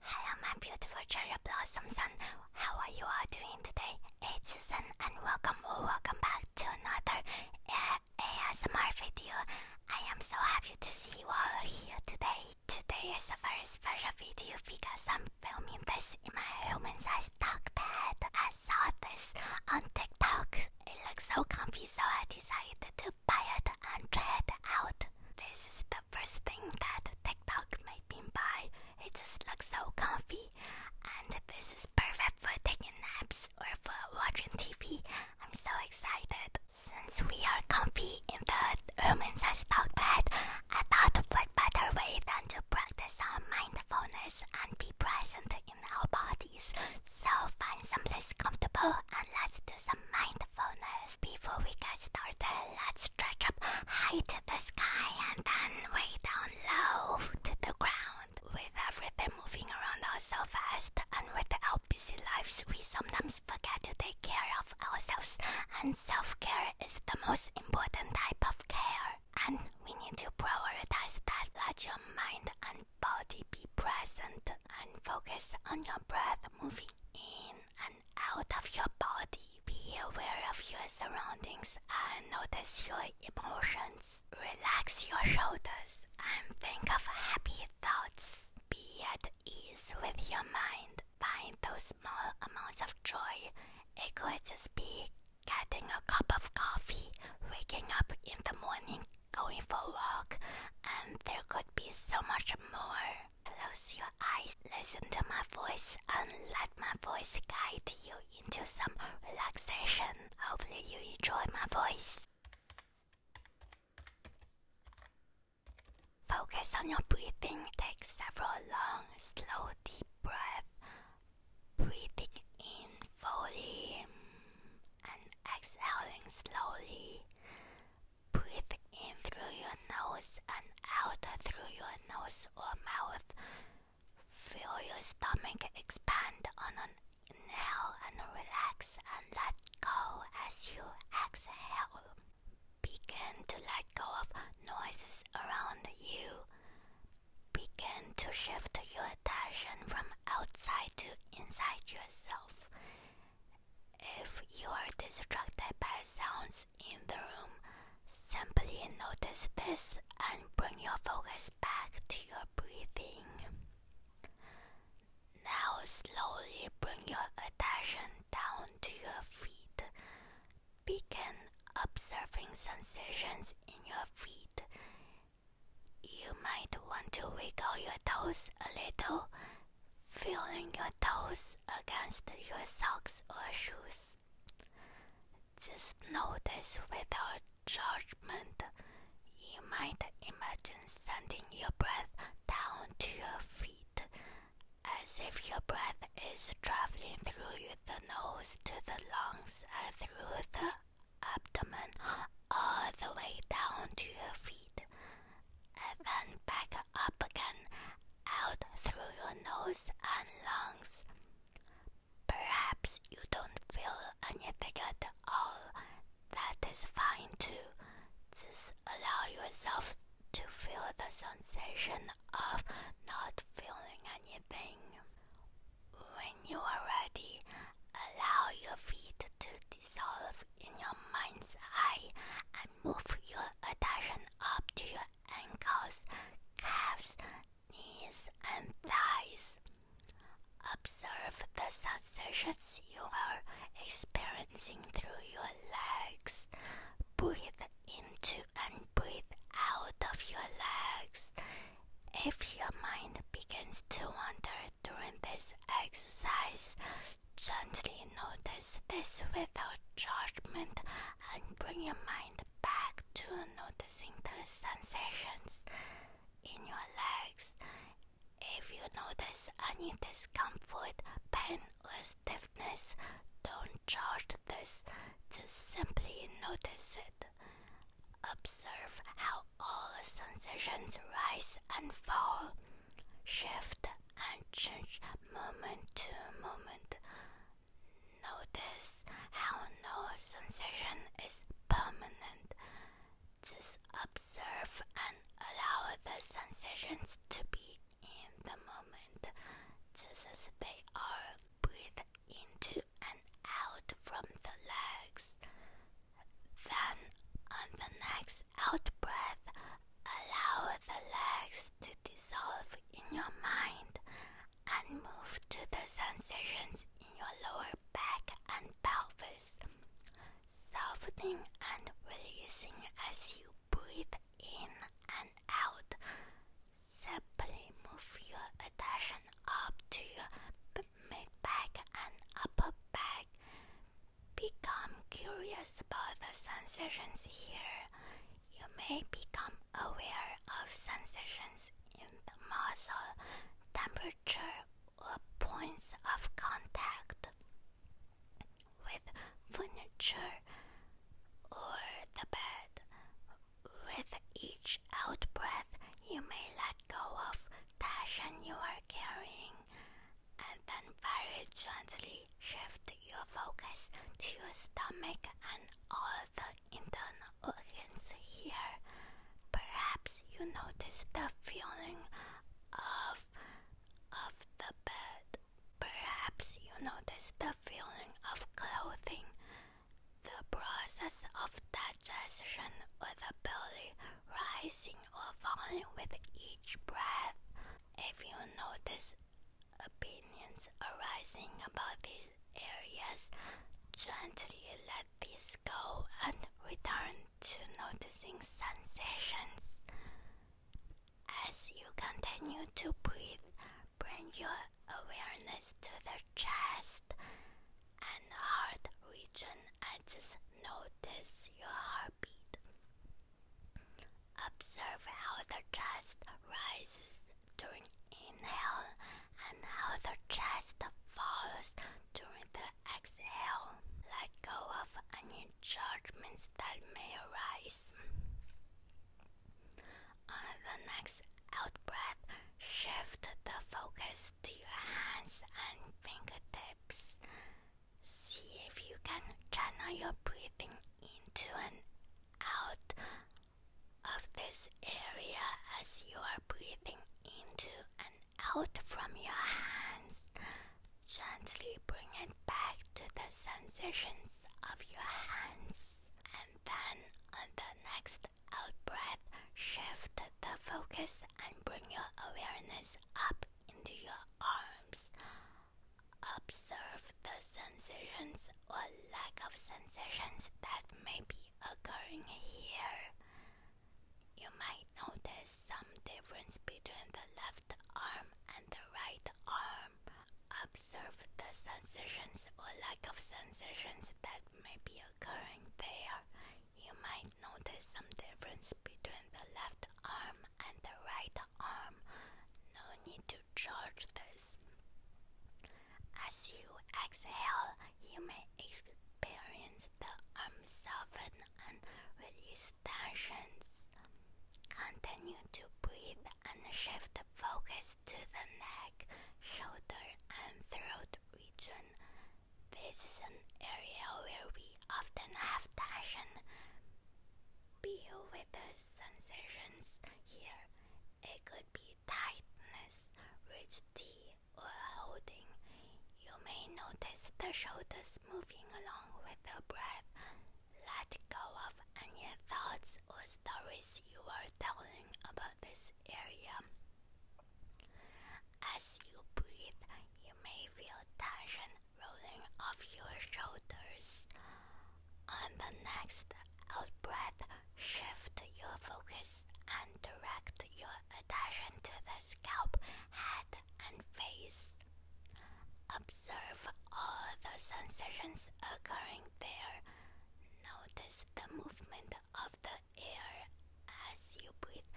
Hello, my beautiful cherry blossoms, and how are you all doing today? It's Susan, and welcome or welcome back to another ASMR video. I am so happy to see you all here today. Today is a very special video because I'm filming this in my human-sized dog bed. I saw this on TikTok. It looks so comfy, so I decided to buy it and try it out. This is first thing that TikTok made me buy. It just looks so comfy, and this is perfect for taking naps or for watching TV. I'm so excited. Since we are comfy in the women's stock bed, I thought better way than to practice our mindfulness and be present in our bodies. So find someplace comfortable and let's do some mind before we get started, let's stretch up high to the sky and then way down low to the ground. With everything moving around us so fast and with our busy lives, we sometimes forget to take care of ourselves. And self care is the most important type of care. And we need to prioritize that. Let your mind and body be present and focus on your breath moving in and out of your body. Be aware of your surroundings and notice your emotions. Relax your shoulders and think of happy thoughts. Be at ease with your mind. Find those small amounts of joy. It could just be getting a cup of coffee, waking up in the morning, going for a walk, and there could be so much more. Close your eyes, listen to my voice, and let my voice guide you into some relaxation. Hopefully, you enjoy my voice. Focus on your breathing. Take several long, slow, deep breaths. Breathing in fully and exhaling slowly. Breathe in through your nose and out through your nose or mouth. Feel your stomach expand on an inhale and relax and let go as you exhale. Begin to let go of noises around you. Begin to shift your attention from outside to inside yourself. If you are distracted by sounds in the room, simply notice this and bring your focus back to your breathing. Now, slowly bring your attention down to your feet. Begin observing sensations in your feet. You might want to wiggle your toes a little feeling your toes against your socks or shoes. Just notice without judgment. You might imagine sending your breath down to your feet, as if your breath is traveling through the nose to the lungs and through the abdomen all the way down to your feet and back up again out through your nose and lungs. Perhaps you don't feel anything at all. That is fine too. Just allow yourself to feel the sensation of not feeling anything. When you are ready, allow your feet to dissolve in your mind's eye and move your attention up to your ankles, calves, knees, and thighs. Observe the sensations you are experiencing through your legs. Breathe into and breathe out of your legs. If your mind begins to wander during this exercise. Gently notice this without judgment and bring your mind back to noticing the sensations in your legs. If you notice any discomfort, pain, or stiffness, don't judge this, just simply notice it. Observe how all sensations rise and fall shift and change moment to moment. Notice how no sensation is permanent. Just observe and allow the sensations to be in the moment, just as they are. Breathe into and out from the legs. Then, on the next out breath, allow the legs to dissolve in your mind and move to the sensations in your lower back and pelvis, softening and releasing as you breathe in and out. Simply move your attention up to your mid back and upper back. Become curious about the sensations here. You may become aware of sensations in the muscle, temperature, or points of contact with furniture or the bed. With each out breath, you may let go of tension you are carrying and then very gently shift your focus to your stomach and all the internal organs here. Perhaps you notice the feeling of of the bed. Perhaps you notice the feeling of clothing. The process of digestion or the belly rising or fun with each breath. If you notice opinions arising about these areas, gently let these go and return to noticing sensations. As you continue to breathe, bring your awareness to the chest and heart region. I just notice your heartbeat. Observe how the chest rises during inhale and how the chest falls during the exhale. Let go of any judgments that may arise. On the next out shift the focus to your hands and fingertips. See if you can channel your breathing into and out of this area as you are breathing into and out from your hands. Gently bring it back to the sensations of your hands. And then on the next out breath, shift the focus, and bring your awareness up into your arms. Observe the sensations or lack of sensations that may be occurring here. You might notice some difference between the left arm and the right arm. Observe the sensations or lack of sensations that may be occurring there. You might notice some difference between the left arm and the right arm. No need to judge this. As you exhale, you may experience the arm soften and release tensions. Continue to breathe and shift focus to the neck, shoulder, and throat region. This is an area where we often have tension. Deal with the sensations here. It could be tightness, rigidity, or holding. You may notice the shoulders moving along with the breath. Let go of any thoughts or stories you are telling about this area. As you breathe, you may feel tension rolling off your shoulders. On the next out breath, shift your focus and direct your attention to the scalp, head, and face. Observe all the sensations occurring there. Notice the movement of the air as you breathe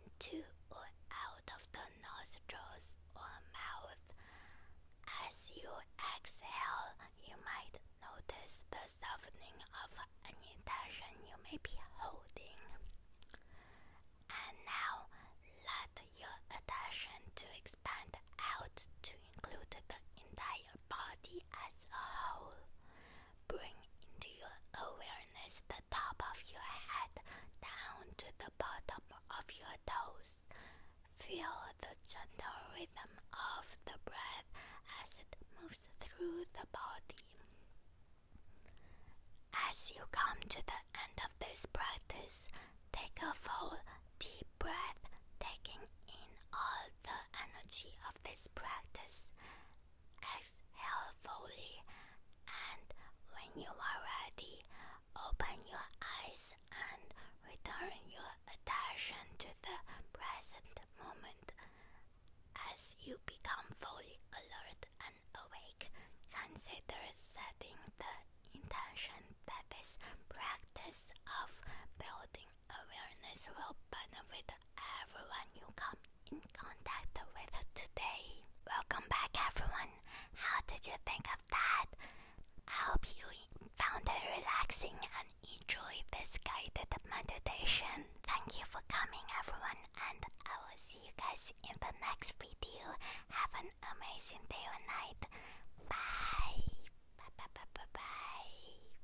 into or out of the nostrils or mouth. As you exhale, you might notice the softening of any tension you may be holding. And now let your attention to expand out to include the entire body as a whole. Bring into your awareness the top of your head down to the bottom of your toes. Feel the gentle rhythm of the breath as it moves through the body. As you come to the end of this practice, take a full deep breath, taking in all the energy of this practice. Exhale fully, and when you are ready, open your eyes and return your attention to the present moment. As you become fully alert and awake, consider setting the intention that this practice of building awareness will benefit everyone you come in contact with today. Welcome back, everyone. How did you think of that? I hope you found it relaxing and enjoyed this guided meditation. Thank you for coming, everyone, and I will see you guys in the next video. Have an amazing day or night. Bye. Bye bye bye bye. bye.